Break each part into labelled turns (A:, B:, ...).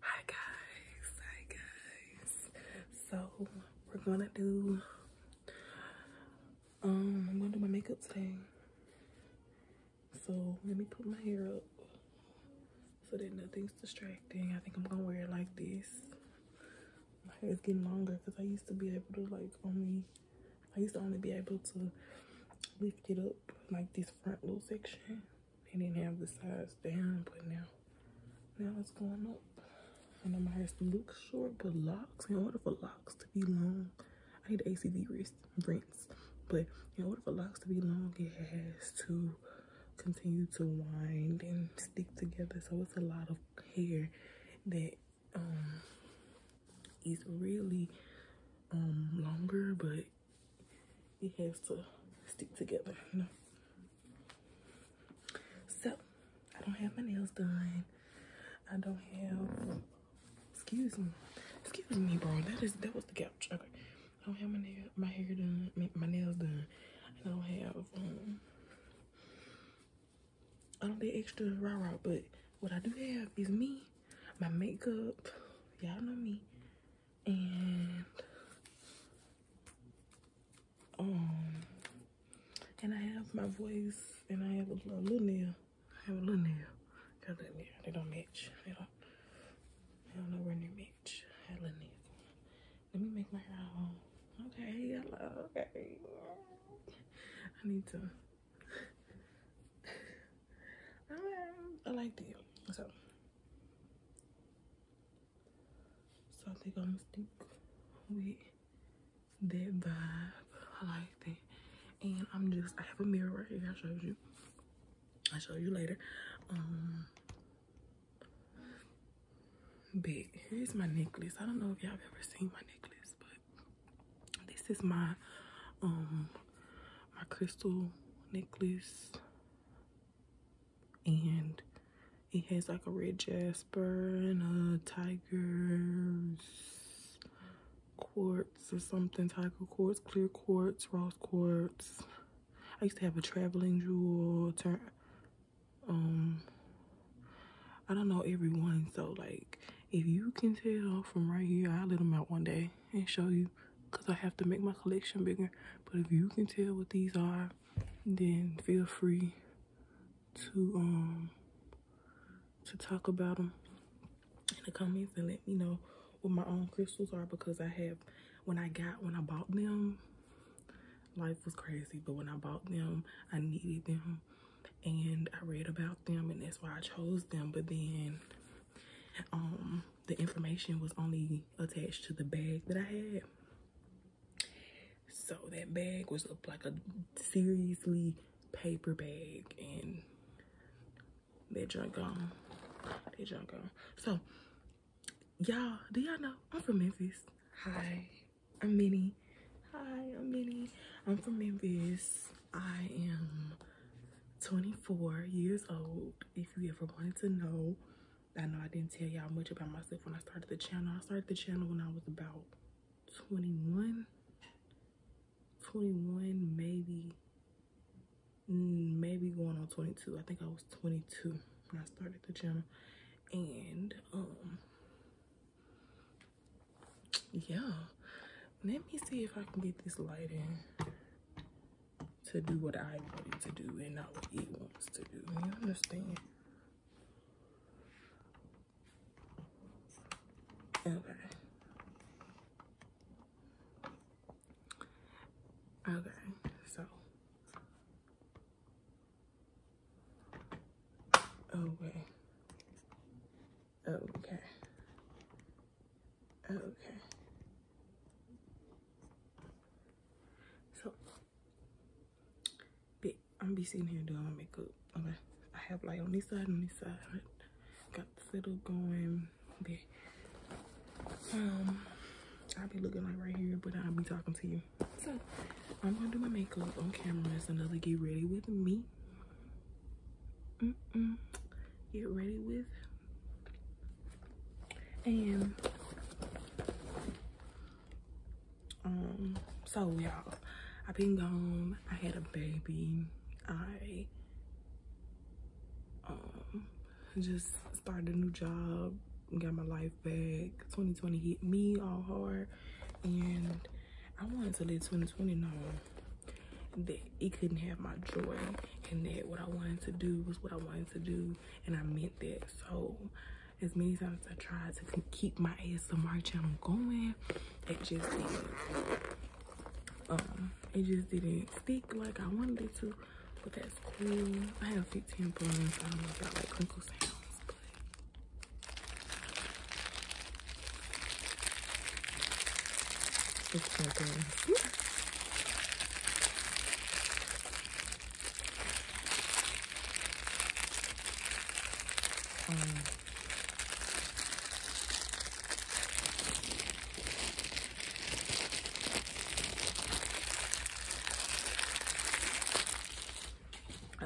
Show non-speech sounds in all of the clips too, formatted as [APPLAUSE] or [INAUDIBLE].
A: Hi guys, hi guys. So we're gonna do um I'm gonna do my makeup today. So let me put my hair up so that nothing's distracting. I think I'm gonna wear it like this. My hair is getting longer because I used to be able to like only I used to only be able to lift it up like this front little section they didn't have the size down, but now, now it's going up. And I'm gonna have to look short, but locks, in order for locks to be long, I need ACV wrist, rinse. But in order for locks to be long, it has to continue to wind and stick together. So it's a lot of hair that um, is really um, longer, but like it has to stick together, you know. So I don't have my nails done. I don't have excuse me. Excuse me, bro. That is that was the couch. Okay. I don't have my nail my hair done, my nails done. I don't have um, I don't do extra rah-rah, but what I do have is me, my makeup, y'all know me and um and I have my voice and I have a, little nail. I have a little nail. Got a little nail. They don't match. They don't I don't know where they match. I had a little nail. Let me make my hair Okay, hello, okay. I need to [LAUGHS] I like that. So so I think I'm going with that vibe. I like that. And I'm just I have a mirror right here, I showed you. I'll show you later. Um but here's my necklace. I don't know if y'all have ever seen my necklace, but this is my um my crystal necklace and it has like a red jasper and a tiger's quartz or something tiger quartz clear quartz rose quartz i used to have a traveling jewel turn um i don't know everyone so like if you can tell from right here i'll let them out one day and show you because I have to make my collection bigger. But if you can tell what these are, then feel free to um to talk about them in the comments and let me know what my own crystals are because I have when I got when I bought them life was crazy but when I bought them I needed them and I read about them and that's why I chose them but then um the information was only attached to the bag that I had. So that bag was like a seriously paper bag and they drunk on. They drunk on. So y'all, do y'all know I'm from Memphis? Hi, I'm Mini. Hi, I'm Mini. I'm from Memphis. I am 24 years old. If you ever wanted to know, I know I didn't tell y'all much about myself when I started the channel. I started the channel when I was about 21, 21, maybe, mm, maybe going on 22. I think I was 22 when I started the channel. And, um, yeah. Let me see if I can get this light in to do what I wanted to do and not what it wants to do. You understand? Okay. Okay, so. Okay. Okay. Okay. So, I'm be sitting here doing my makeup. Okay. I have light on this side on this side. Got the setup going. But, um, I'll be looking like right here, but I'll be talking to you. So, I'm gonna do my makeup on camera. It's another get ready with me. Mm -mm. Get ready with and um, so y'all, I've been gone. I had a baby. I um just started a new job, got my life back. 2020 hit me all hard, and I wanted to let 2020 know that it couldn't have my joy and that what I wanted to do was what I wanted to do and I meant that. So as many times I tried to keep my ASMR channel going, it just didn't um, it just didn't stick like I wanted it to. But that's cool. I have 15 buns. I don't know if I like crinkle sounds,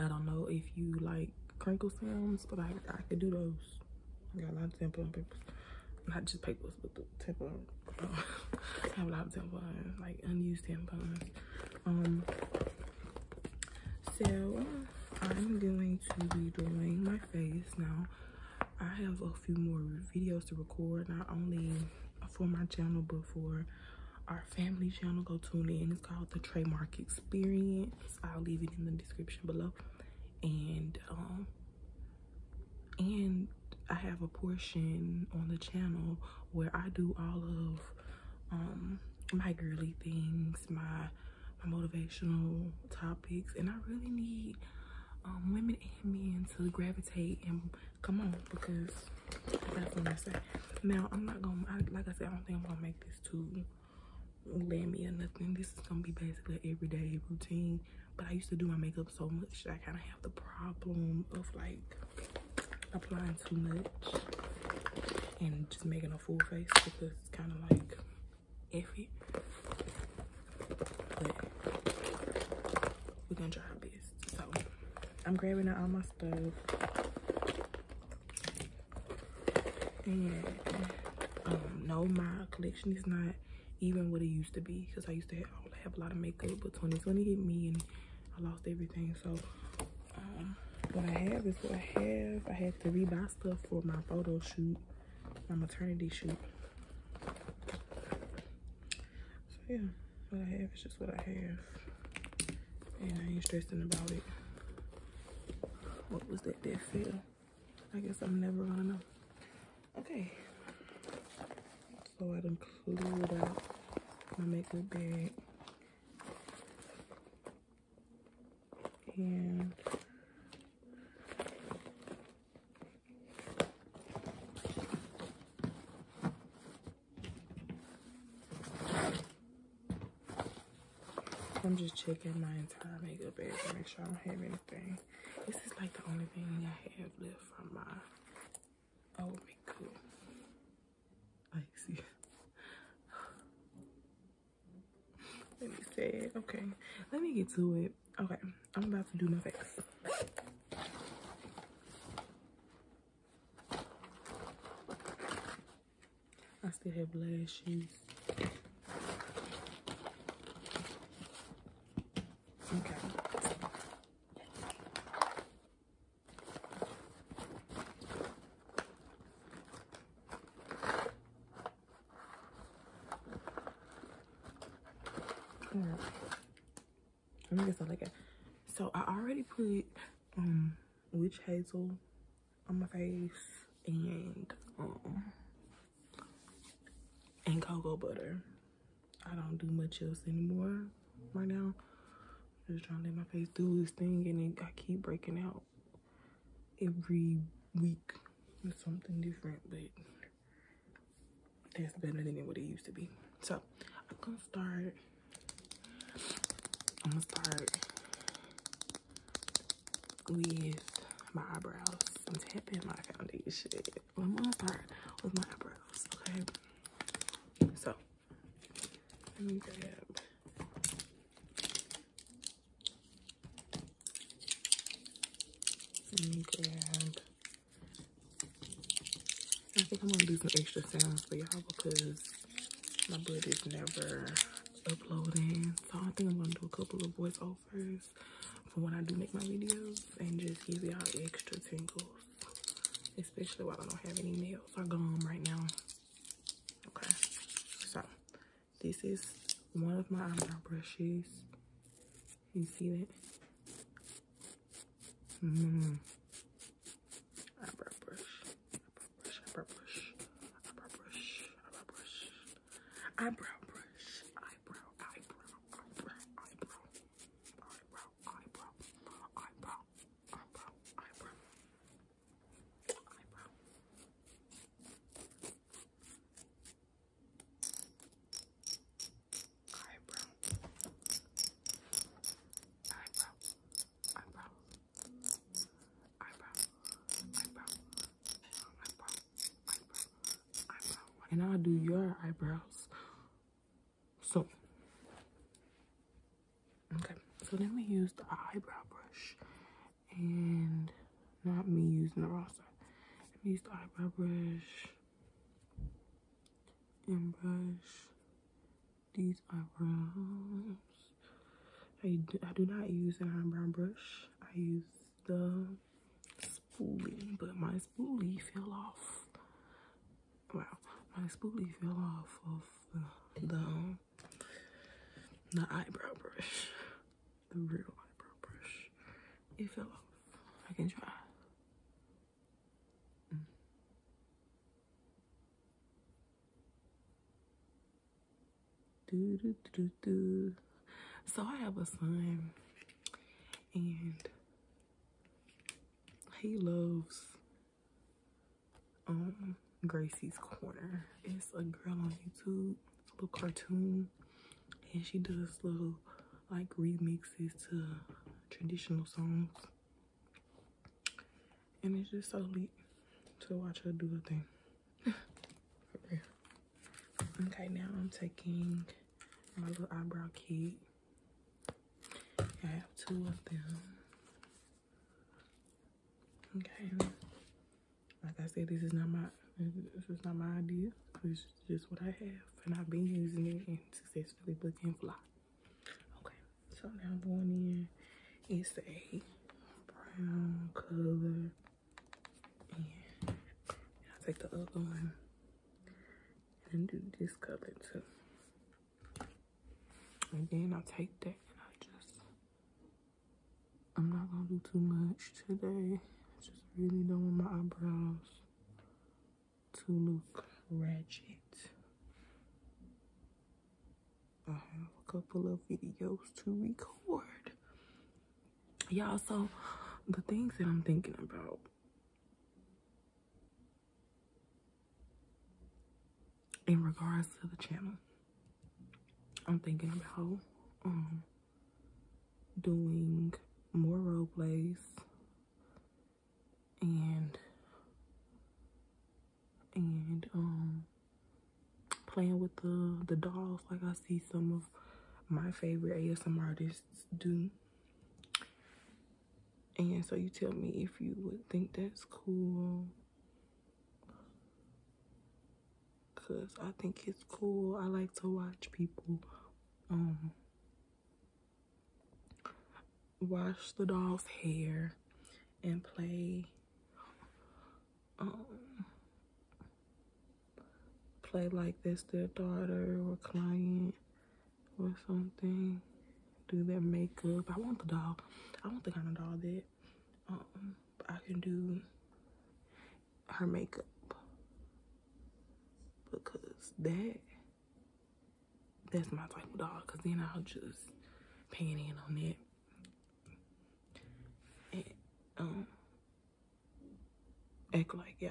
A: I don't know if you like crinkle sounds, but I, I can do those. I got a lot of sample papers not just papers, but the tampons. [LAUGHS] I have a lot of tampons, like unused tampons. Um, so I'm going to be doing my face now. I have a few more videos to record, not only for my channel, but for our family channel. Go tune in. It's called the Trademark Experience. I'll leave it in the description below. And um, and I have a portion on the channel where I do all of um, my girly things, my motivational topics, and I really need um, women and men to gravitate and come on because that's what I say. Now I'm not gonna like I said I don't think I'm gonna make this too lammy or nothing. This is gonna be basically everyday routine but i used to do my makeup so much that i kind of have the problem of like applying too much and just making a full face because it's kind of like iffy but we're gonna try our best so i'm grabbing out all my stuff and um, no my collection is not even what it used to be because I used to have, a lot of makeup, but 2020 hit me and I lost everything. So um, what I have is what I have. I had to rebuy stuff for my photo shoot, my maternity shoot. So yeah, what I have is just what I have. And I ain't stressing about it. What was that that feel? I guess I'm never gonna know. Okay. So I done cleared out my makeup bag. And I'm just checking my entire makeup bag to make sure I don't have anything. This is like the only thing I have left from my Oh, that would be cool. see. Let me say it. Okay. Let me get to it. Okay. I'm about to do my face. I still have lashes. Okay. Mm. I think it's So I already put um, witch hazel on my face and um, and cocoa butter I don't do much else anymore right now. I'm just trying to let my face do this thing and it, I keep breaking out every week with something different, but that's better than it would it used to be. So I'm gonna start, I'm gonna start with my eyebrows. I'm tapping my foundation. I'm gonna start with my eyebrows, okay? So let me grab let me grab I think I'm gonna do some extra sounds for y'all because my blood never uploading. So I think I'm gonna do a couple of voiceovers for when I do make my videos and just give y'all extra tingles especially while I don't have any nails or gone right now. Okay, so this is one of my eyebrow brushes. You see that? -hmm. Eyebrow brush, eyebrow brush, eyebrow brush, eyebrow brush, eyebrow brush, eyebrow, eyebrow, eyebrow, eyebrow, eyebrow, eyebrow, eyebrow, eyebrow, eyebrow, eyebrow. Eyebrow. Eyebrow. Eyebrow. Eyebrow. Eyebrow. Eyebrow. Eyebrow. Eyebrow. And I'll do your eyebrows so, okay. So then we use the eyebrow brush, and not me using the raw side. Let me use the eyebrow brush and brush these eyebrows. I I do not use an eyebrow brush. I use the spoolie, but my spoolie fell off. Wow, my spoolie fell off of the the, eyebrow brush, the real eyebrow brush. It fell off. I can try. Mm. Do, do, do, do. So I have a sign and he loves um Gracie's Corner. It's a girl on YouTube, little cartoon, and she does little like remixes to traditional songs. And it's just so neat to watch her do her thing. [LAUGHS] Okay, now I'm taking my little eyebrow kit I have two of them. Okay. Like I said, this is not my this is not my idea. It's just what I have, and I've been using it and successfully But booking fly. Okay, so now one in, it's a brown color, and I take the other one. And do this color too. And then I'll take that and I just, I'm not gonna do too much today. just really don't want my eyebrows to look ratchet. I have a couple of videos to record. Y'all, so the things that I'm thinking about in regards to the channel i'm thinking about um, doing more role plays and and um playing with the the dolls like i see some of my favorite asm artists do and so you tell me if you would think that's cool. Cause I think it's cool. I like to watch people um wash the doll's hair and play um play like this to a daughter or client or something. Do their makeup. I want the dog. I want the kind of dog that um, I can do her makeup because that that's my type of dog because then I'll just pan in on that and um act like yeah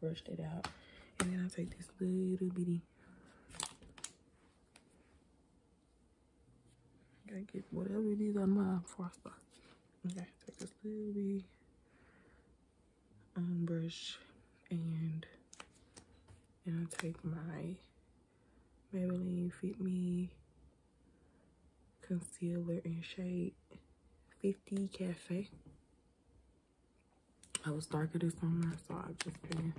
A: Brush it out. And then I take this little bitty. gotta get whatever it is on my frost spot. Okay, take this little bitty um, brush and and I take my Maybelline Fit Me Concealer in shade 50 Cafe. I was darker this summer, so I've just been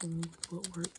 A: going with what works.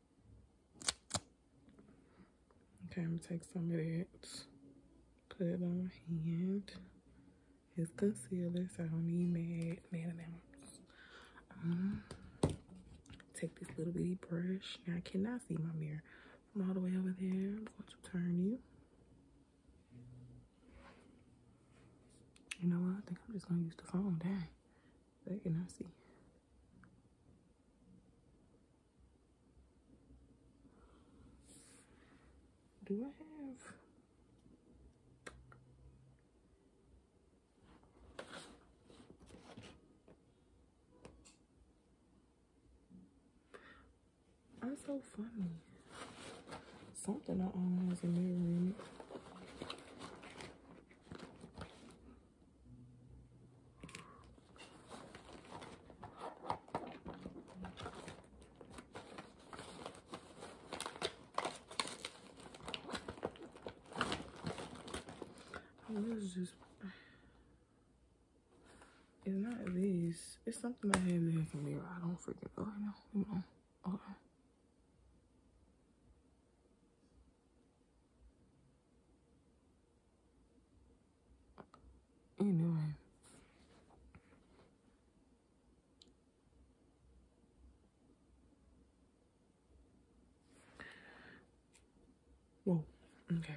A: Okay, I'm gonna take some of that, put it on my hand. It's concealer, so I don't need mad, mad amounts. Um, take this little bitty brush. Now I cannot see my mirror from all the way over there. I'm going to turn you. You know what? I think I'm just gonna use the phone. Dang, they cannot see. Do I have? I'm so funny. Something I own has in it. This is just it's not these. It's something I had in the computer. I don't freaking know. I know. Hold on. Anyway. Whoa, okay.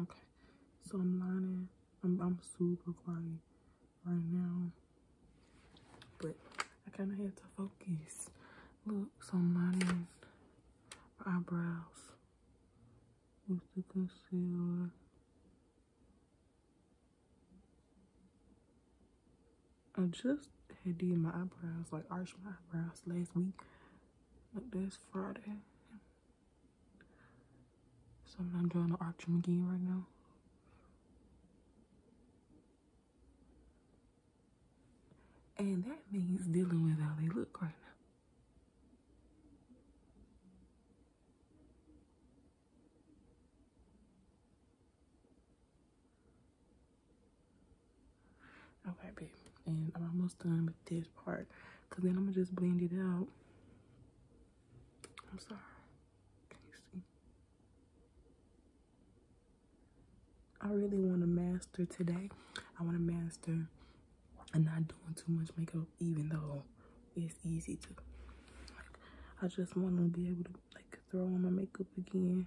A: Okay, so I'm lining, I'm, I'm super quiet right now, but I kind of had to focus. Look, so I'm lining my eyebrows with the concealer. I just had did my eyebrows, like arched my eyebrows last week. Like this Friday. So I'm doing the arch them again right now. And that means dealing with how they look right now. Okay, babe. And I'm almost done with this part. Because then I'm going to just blend it out. I'm sorry. Can you see? I really want to master today. I want to master and not doing too much makeup, even though it's easy to. I just want to be able to like throw on my makeup again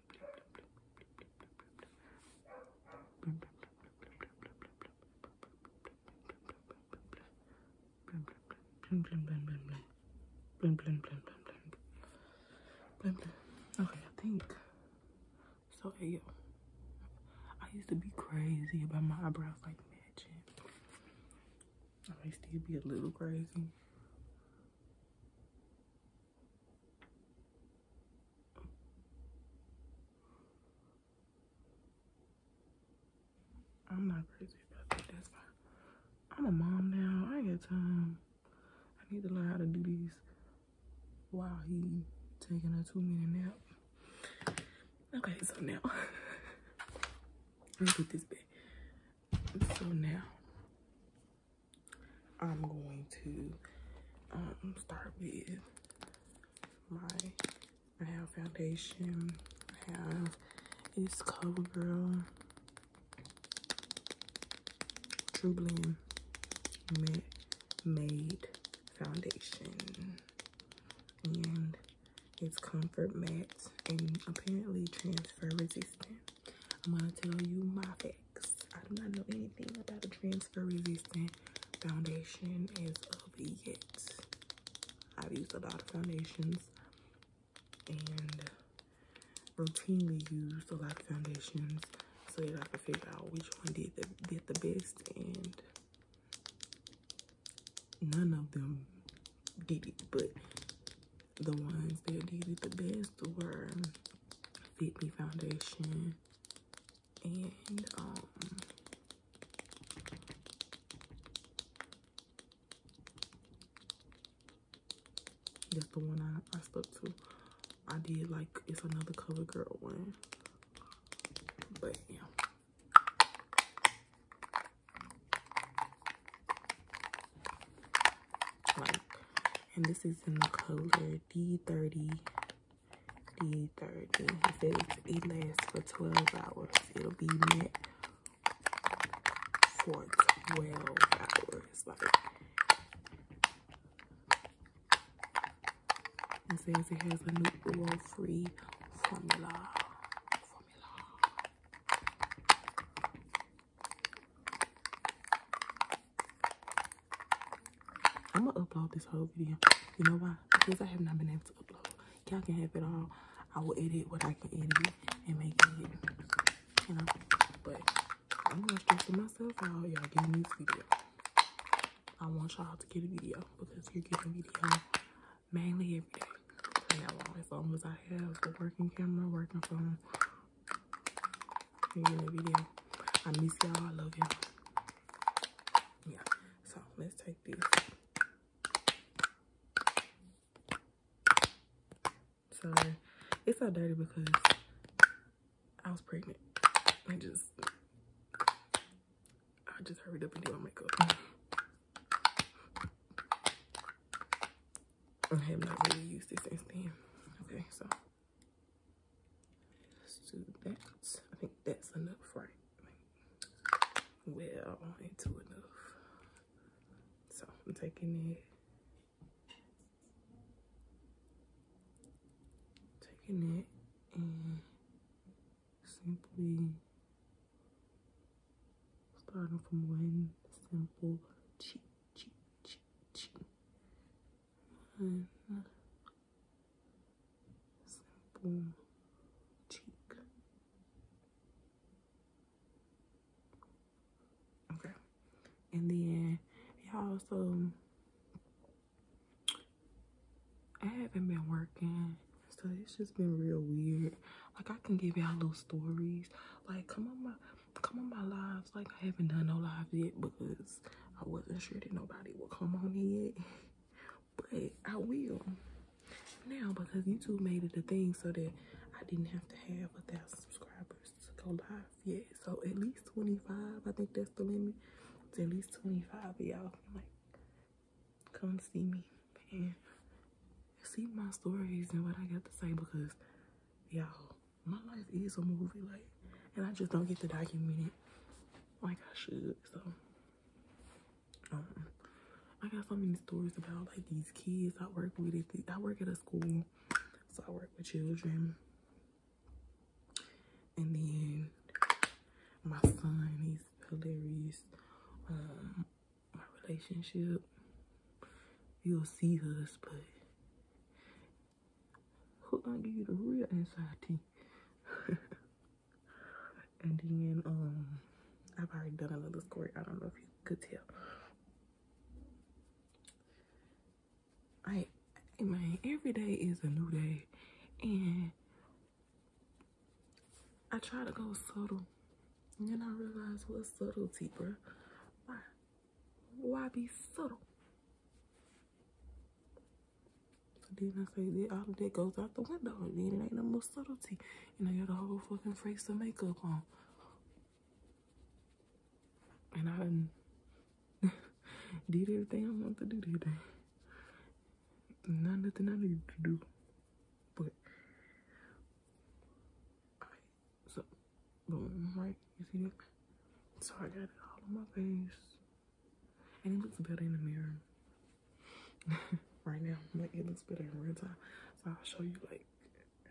A: Okay, I think so. Yeah, I used to be crazy about my eyebrows like matching. I still be a little crazy. I'm not crazy about That's fine. I'm a mom now. I ain't got time. I need to learn how to do these while he taking a two minute nap. Okay, so now [LAUGHS] let me this back. So now I'm going to um, start with my, I have foundation, I have, it's CoverGirl True Blend Matte Made Foundation. And it's Comfort Matte and apparently transfer resistant. I'm gonna tell you my facts. I do not know anything about the transfer resistant foundation as of yet. I've used a lot of foundations and routinely used a lot of foundations so that I could figure out which one did the, did the best and none of them did it but the ones that did it the best were Fit Me Foundation. And um that's the one I, I stuck to. I did like it's another Color Girl one. But yeah. And this is in the color D30. D30. It it lasts for 12 hours. It'll be net for 12 hours. Like, it says it has a oil free Formula. I'm gonna upload this whole video. You know why? Because I have not been able to upload. Y'all can have it all. I will edit what I can edit and make it, you know. But I'm gonna stress myself out. Y'all me this video. I want y'all to get a video because you're getting video mainly every day from now on. my phone as I have the working camera, working phone, in the video. I miss y'all. I love y'all. Yeah. So let's take this. So it's all dirty because I was pregnant. I just I just hurried up and did my makeup. I have not used this since then. Okay, so I think that's enough, right? Well, ain't too enough. So I'm taking it. Taking it and simply starting from one simple cheek, cheek, cheek, cheek and simple cheek. Okay, and then y'all also. I haven't been working, so it's just been real weird. Like I can give y'all little stories. Like come on my come on my lives. Like I haven't done no lives yet because I wasn't sure that nobody would come on yet. But I will now because YouTube made it a thing so that I didn't have to have a thousand subscribers to go live yet. So at least 25, I think that's the limit. at least 25 y'all like come see me and see my stories and what I got to say because y'all my life is a movie, like, and I just don't get to document it like I should. So, um, I got so many stories about like these kids I work with. It, I work at a school, so I work with children, and then my son, he's hilarious. Um, my relationship, you'll see us, but Hook gonna give you the real anxiety. [LAUGHS] and then um I've already done another story. I don't know if you could tell. I man, every day is a new day, and I try to go subtle, and then I realize what subtlety, bro. Why why be subtle? Then I say that all that goes out the window, and then it ain't no more subtlety. You know you got a whole fucking face of makeup on. And I done [LAUGHS] did everything I wanted to do today. Not nothing I needed to do. But so, boom, right? You see that? So I got it all on my face. And it looks better in the mirror. [LAUGHS] right now, like it looks better in real time. So I'll show you like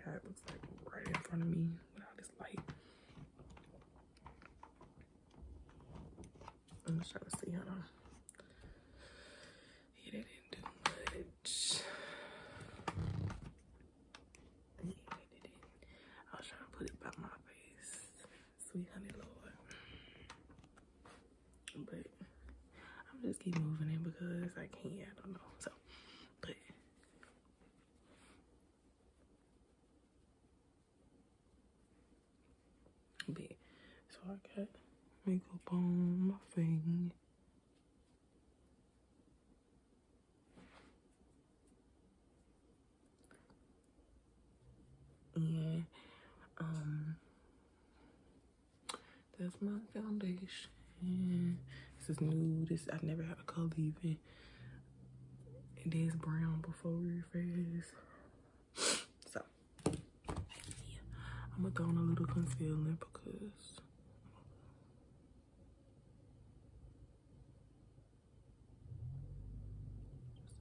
A: how it looks like right in front of me without this light. I'm just trying to see how it didn't do I was trying to put it by my face. Sweet honey lord. But I'm just keep moving it because I can't, I don't know. So but but so I got makeup on my thing. Yeah, um that's my foundation. This is new. This I have never had a color even. It is brown before reface. So I'm gonna go on a little concealer because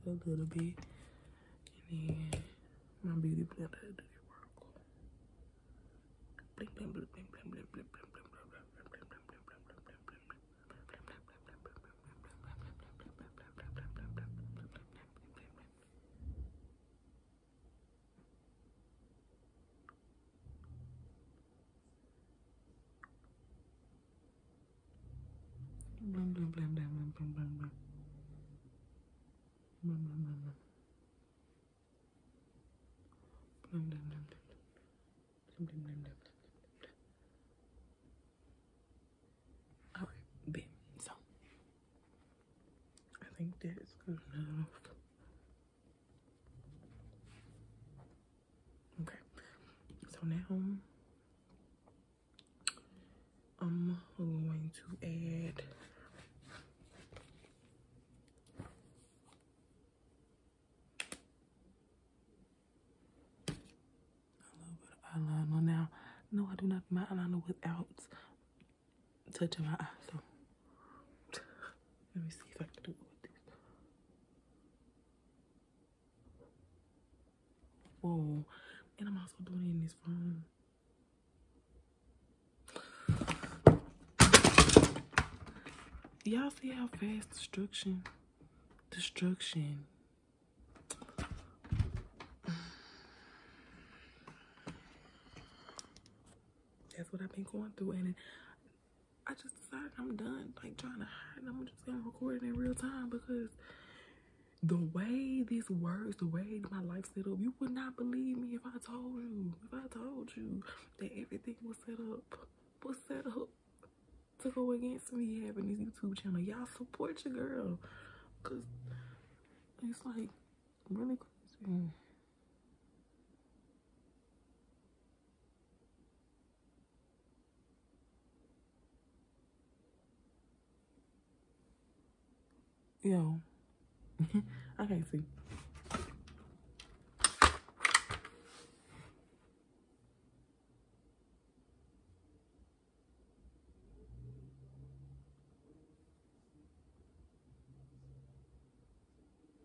A: just a little bit. And then my beauty blender did it work. All right, bit. So I think that's good enough. Okay. So now I'm going to add a little bit of eyeliner now. No, I do not my eyeliner without touching my eye. So let me see if I can do it with this. Whoa. And I'm also doing this phone. Y'all see how fast destruction, destruction. That's what I've been going through. And I just decided I'm done like trying to hide I'm just gonna record it in real time because the way this works, the way my life set up, you would not believe me if I told you, if I told you that everything was set up, was set up to go against me having this YouTube channel. Y'all support your girl. Cause it's like really crazy. Yo, [LAUGHS] I can't see.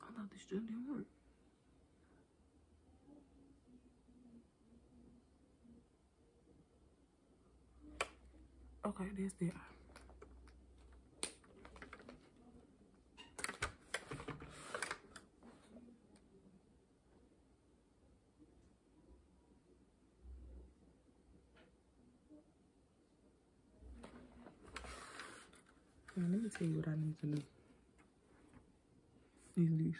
A: I thought this gel didn't work. Okay, that's the eye. Now let me tell you what I need to do. These these.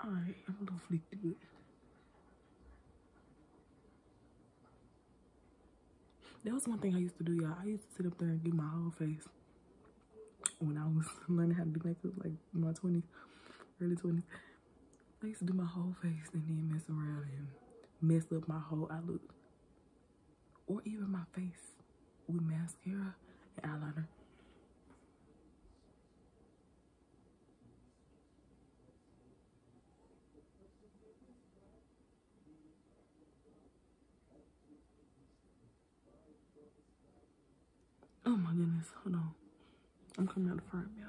A: I'm gonna it. That was one thing I used to do, y'all. I used to sit up there and do my whole face when I was [LAUGHS] learning how to do makeup, like my 20s, early 20s. I used to do my whole face and then mess around and mess up my whole look, Or even my face with mascara and eyeliner. Oh my goodness, hold on. I'm coming out the front, y'all.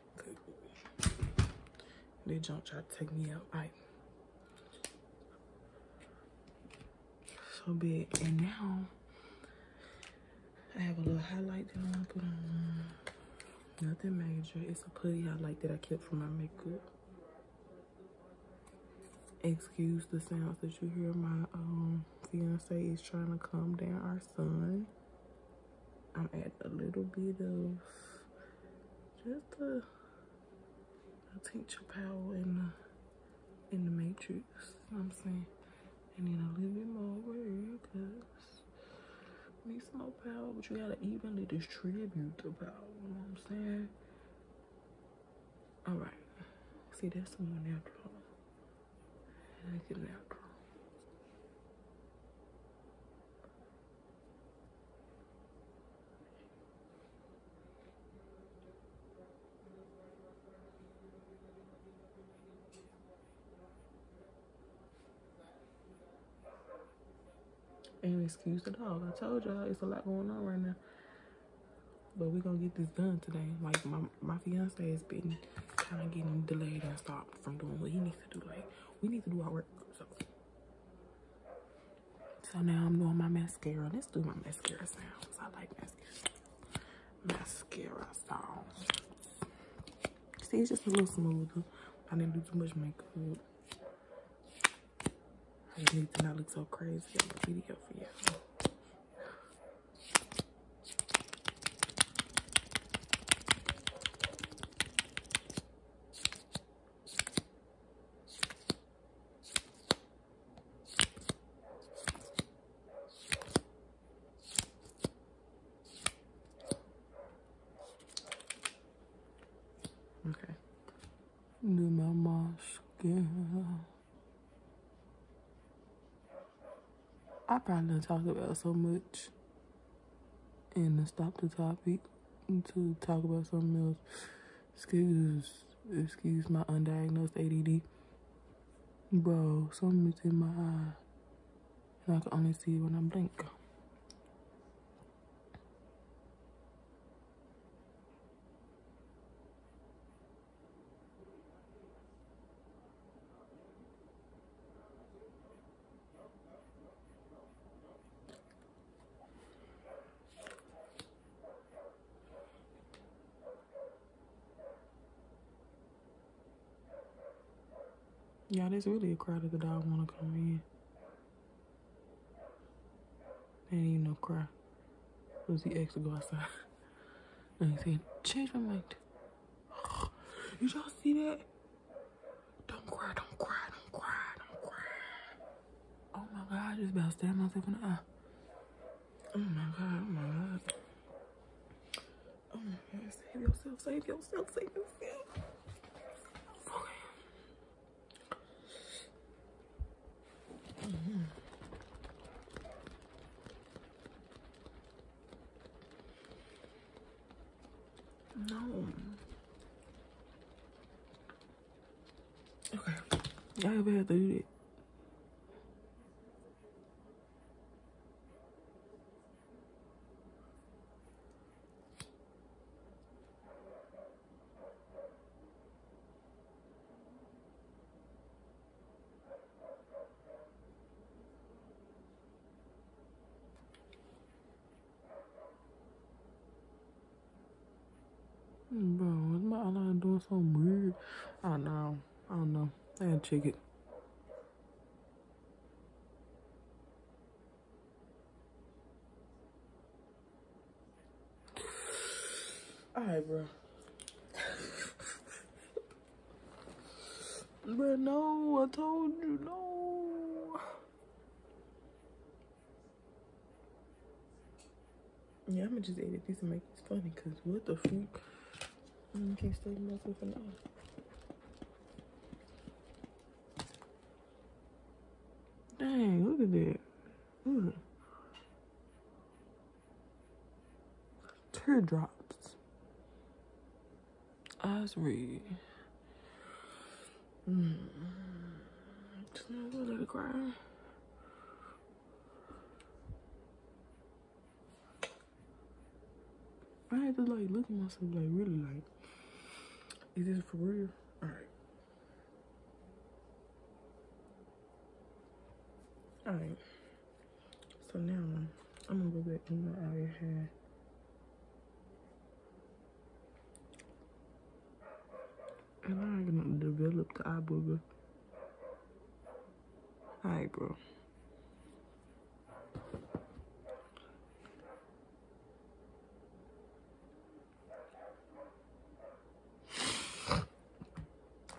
A: They don't try to take me out. Like, so big. And now, I have a little highlight that I want to put on. Nothing major. It's a putty highlight that I kept for my makeup. Excuse the sounds that you hear. My um, fiance is trying to calm down our son. I'm add a little bit of just the, the tincture power in the in the matrix. You know what I'm saying, and then a little bit more over because we need some more power, but you gotta evenly distribute the power. You know what I'm saying? All right. See, that's the one after and I can now draw. And excuse the dog. I told y'all it's a lot going on right now. But we're gonna get this done today. Like my my fiance has been kind of getting delayed and stopped from doing what he needs we need to do our work. So, now I'm doing my mascara. Let's do my mascara sounds. I like mascara. Mascara sounds. See, it's just a little smoother. I didn't do too much makeup. I just need to not look so crazy on the video for you. Okay. Do my mascara. I probably done talk about so much and to stop the topic to talk about something else. Excuse, excuse my undiagnosed ADD. Bro, something's in my eye and I can only see when I blink. Yeah, there's really a crowd that I want to come in. Ain't even no cry. It was the ex to go outside. [LAUGHS] and he said, change my mind. You y'all see that? Don't cry, don't cry, don't cry, don't cry. Oh my God, I just about stand myself in the eye. Oh my God, oh my God. Oh my God, save yourself, save yourself, save yourself. Mm-hmm. No. Okay. I all ever had to do it. Bro, is my eyeliner doing something weird? I don't know. I don't know. I got check it. [SIGHS] Alright, bro. [LAUGHS] But no, I told you, no. Yeah, I'ma just edit this and make this funny, cause what the fuck? I keep staring myself in the eye. Dang, look at that. Mm. Teardrops. Osri. Mm. Just a little cry. I had to like look at myself like really like, is this for real? All right. All right. So now I'm gonna go get in my area here. And I'm gonna develop the eye booger. Alright, bro.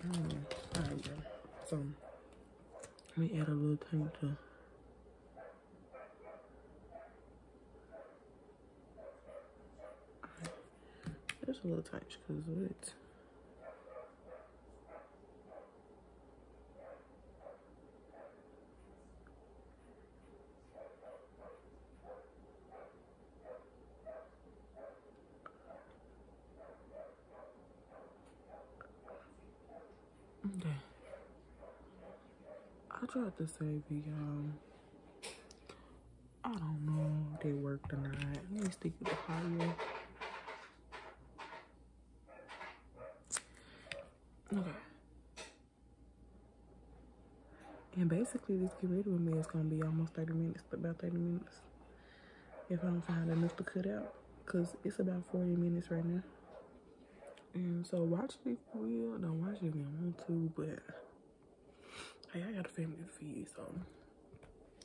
A: [SIGHS] Alright, So, let me add a little thing to there's a little types because of it. Okay. I tried to save the um I don't know they work or not. Let me stick with the higher. Okay. And basically this get rid of me is gonna be almost 30 minutes, about 30 minutes. If I don't find enough to cut out. Cause it's about 40 minutes right now. And mm, so watch me if you Don't watch me if you want to, but hey, I got a family to feed, so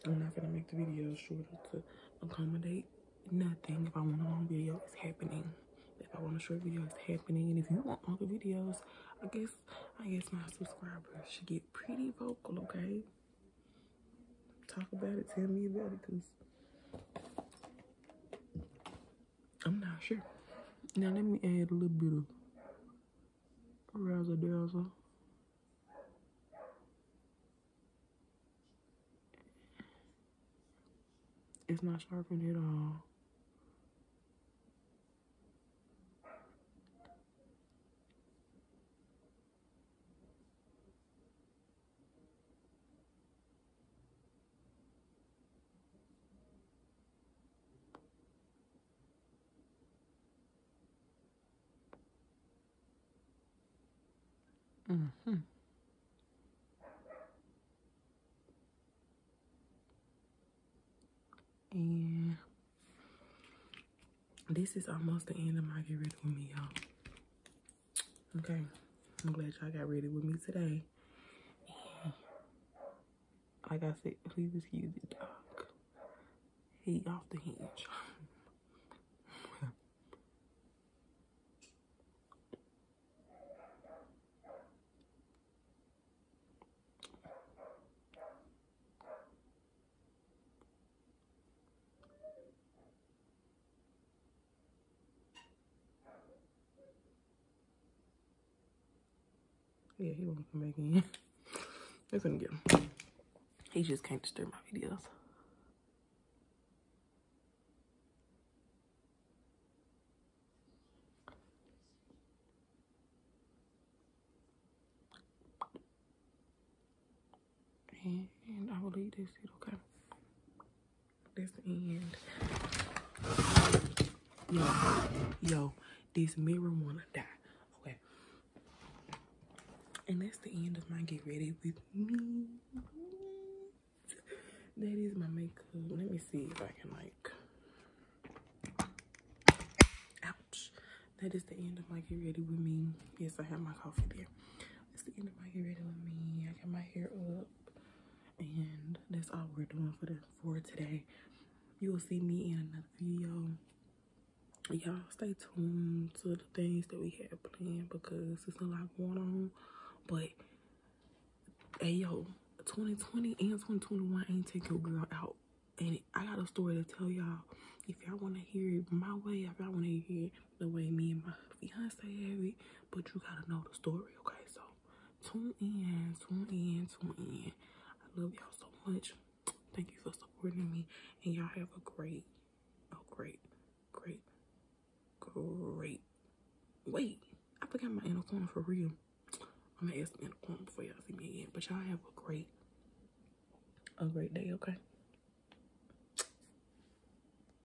A: I'm not gonna make the video shorter to accommodate nothing. If I want a long video, it's happening. If I want a short video, it's happening. And if you want longer videos, I guess I guess my subscribers should get pretty vocal, okay? Talk about it, tell me about it, cause I'm not sure. Now let me add a little bit of razzle dazzle. It's not sharpened at all. Mm-hmm. And this is almost the end of my get ready with me, y'all. Okay, I'm glad y'all got ready with me today. like I said, please excuse the dog. He off the hinge. Yeah, he won't come back in. [LAUGHS] They not him. He just can't disturb my videos. And, I will believe this is okay. That's the end. Yo, yo, this mirror wanna die. Okay. And that's the end of my get ready with me. That is my makeup. Let me see if I can like ouch. That is the end of my get ready with me. Yes, I have my coffee there. That's the end of my get ready with me. I got my hair up and that's all we're doing for for today you will see me in another video y'all stay tuned to the things that we have planned because there's a lot going on but hey yo 2020 and 2021 ain't take your girl out and i got a story to tell y'all if y'all want to hear it my way if y'all want to hear it the way me and my fiancee, have it, but you gotta know the story, okay? So tune in, tune in, tune in. I love y'all so much. Thank you for supporting me, and y'all have a great, oh great, great, great. Wait, I forgot my inner corner for real. I'm gonna ask the inner corner before y'all see me again, but y'all have a great, a great day, okay?